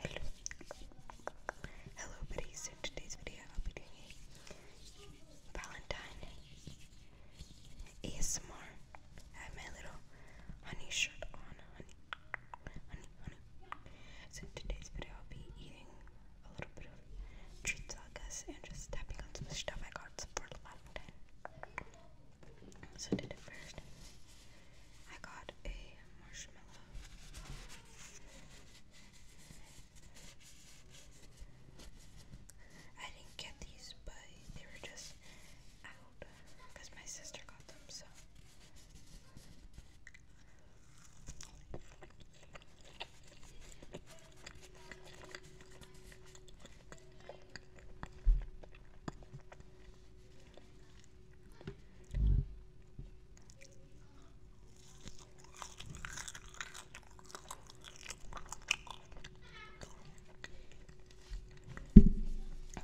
Hello. Hello buddies. So in today's video I'll be doing a Valentine ASMR. I have my little honey shirt on. Honey. Honey, honey. So in today's video I'll be eating a little bit of treats I guess and just tapping on some stuff I got for Valentine. So I did it first. I got a marshmallow. I didn't get these, but they were just out because my sister got them, so.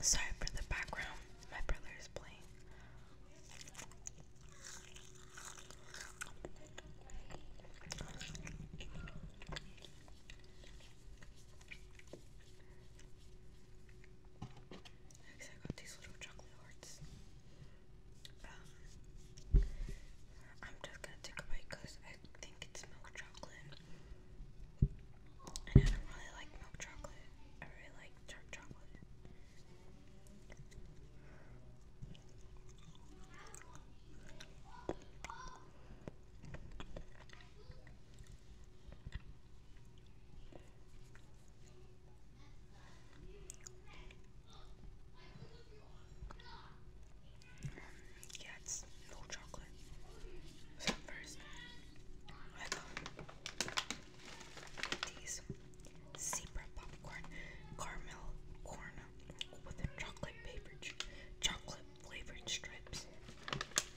Sorry for the background, my brother is playing. Because I got these little chocolate hearts. Um, I'm just gonna take a bite because I think it's milk chocolate. And I don't really like milk chocolate. I really like dark chocolate. Yeah, no chocolate. So first, I got these zebra popcorn caramel corn with chocolate paper chocolate flavored strips.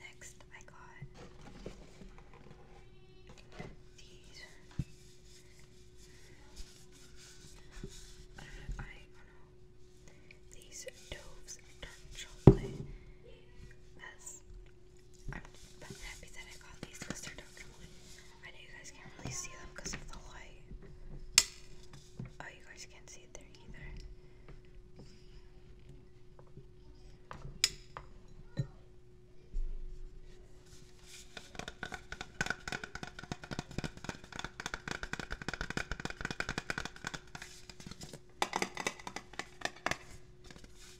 Next, I got these. Uh, I don't know. These Dove's dark chocolate has I'm but happy that I got these because they're dark and I know you guys can't really see them because of the light. Oh, you guys can't see it there either.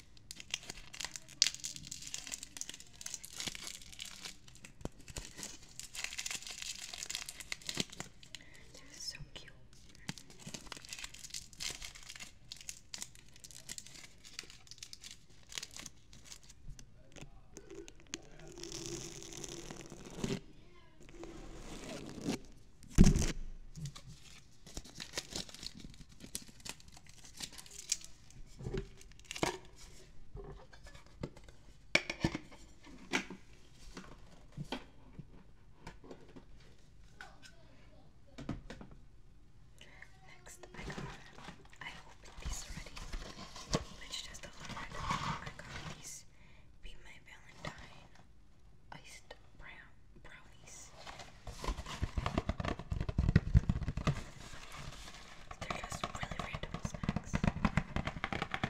They're so cute. Next, I got, I opened this already, which just opened it. I got these Be My Valentine Iced Brown Brow release. They're just really random snacks. I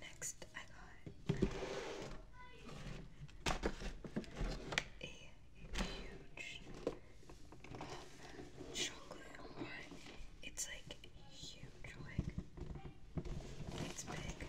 Next, I got a huge um, chocolate horn. It's like huge, like it's big.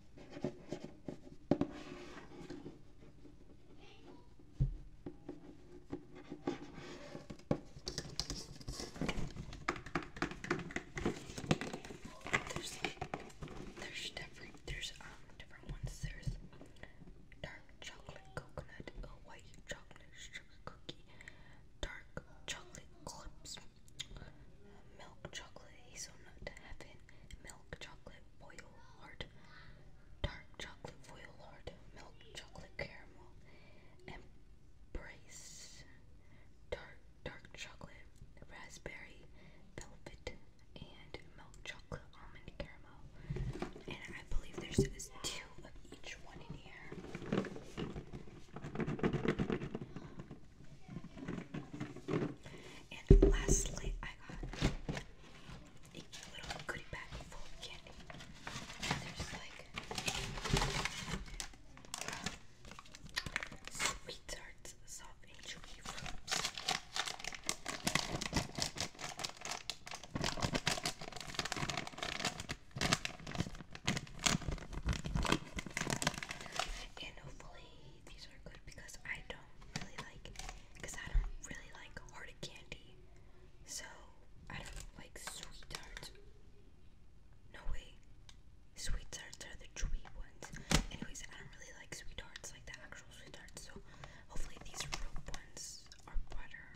There's there's different there's um different ones. There's dark chocolate coconut, a white chocolate sugar cookie, dark chocolate clips, milk chocolate hazelnut heaven, milk chocolate foil heart, dark chocolate foil heart, milk chocolate caramel, embrace, dark dark chocolate, raspberry, velvet, and milk chocolate almond caramel. And I believe there's two of each one in here. And lastly, I got a little goodie bag full of candy. there's like sweet soft and chewy And hopefully these are good because I don't really like because I don't really like hard candy. So I don't like sweet tarts. No way. Sweet tarts are the chewy ones. Anyways, I don't really like sweet tarts, like the actual sweet tarts. So hopefully these rope ones are better.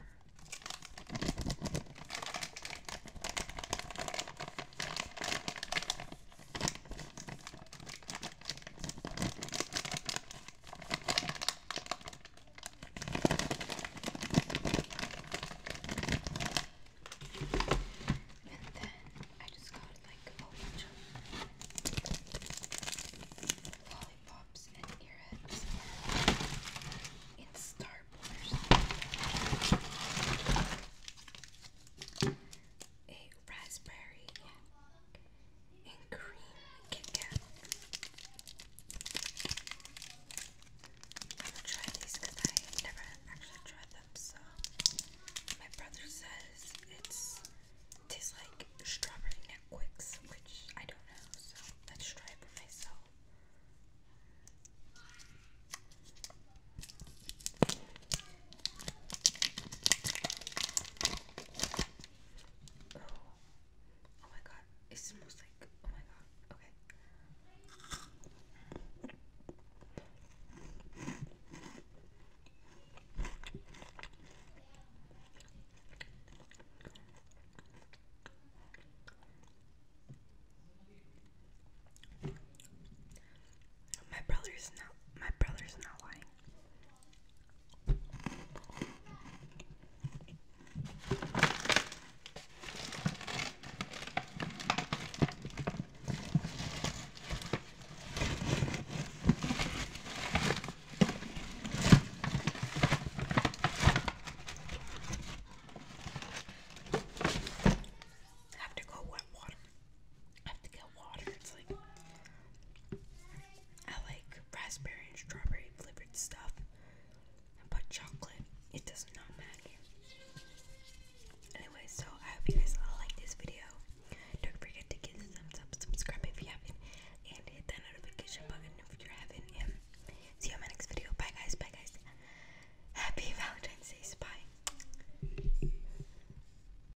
And then I just got like a whole bunch of lollipops and earheads in Starburst. A raspberry, and cream Kit I'm gonna try these I never actually tried them. So my brother says it's tastes like strawberry Netflix, which I don't know. So let's try it for myself. Oh. oh my god, it smells like. Oh my god, okay. My brother's not my brother's not lying. I have to go wet water. I have to get water. It's like I like raspberry and strawberry flavored stuff, but chocolate it does not matter. Anyway, so I hope you guys all this video. Don't forget to give it a thumbs up, subscribe if you haven't, and hit that notification button if you haven't. see you in my next video. Bye guys. Bye guys. Happy Valentine's Day. Bye.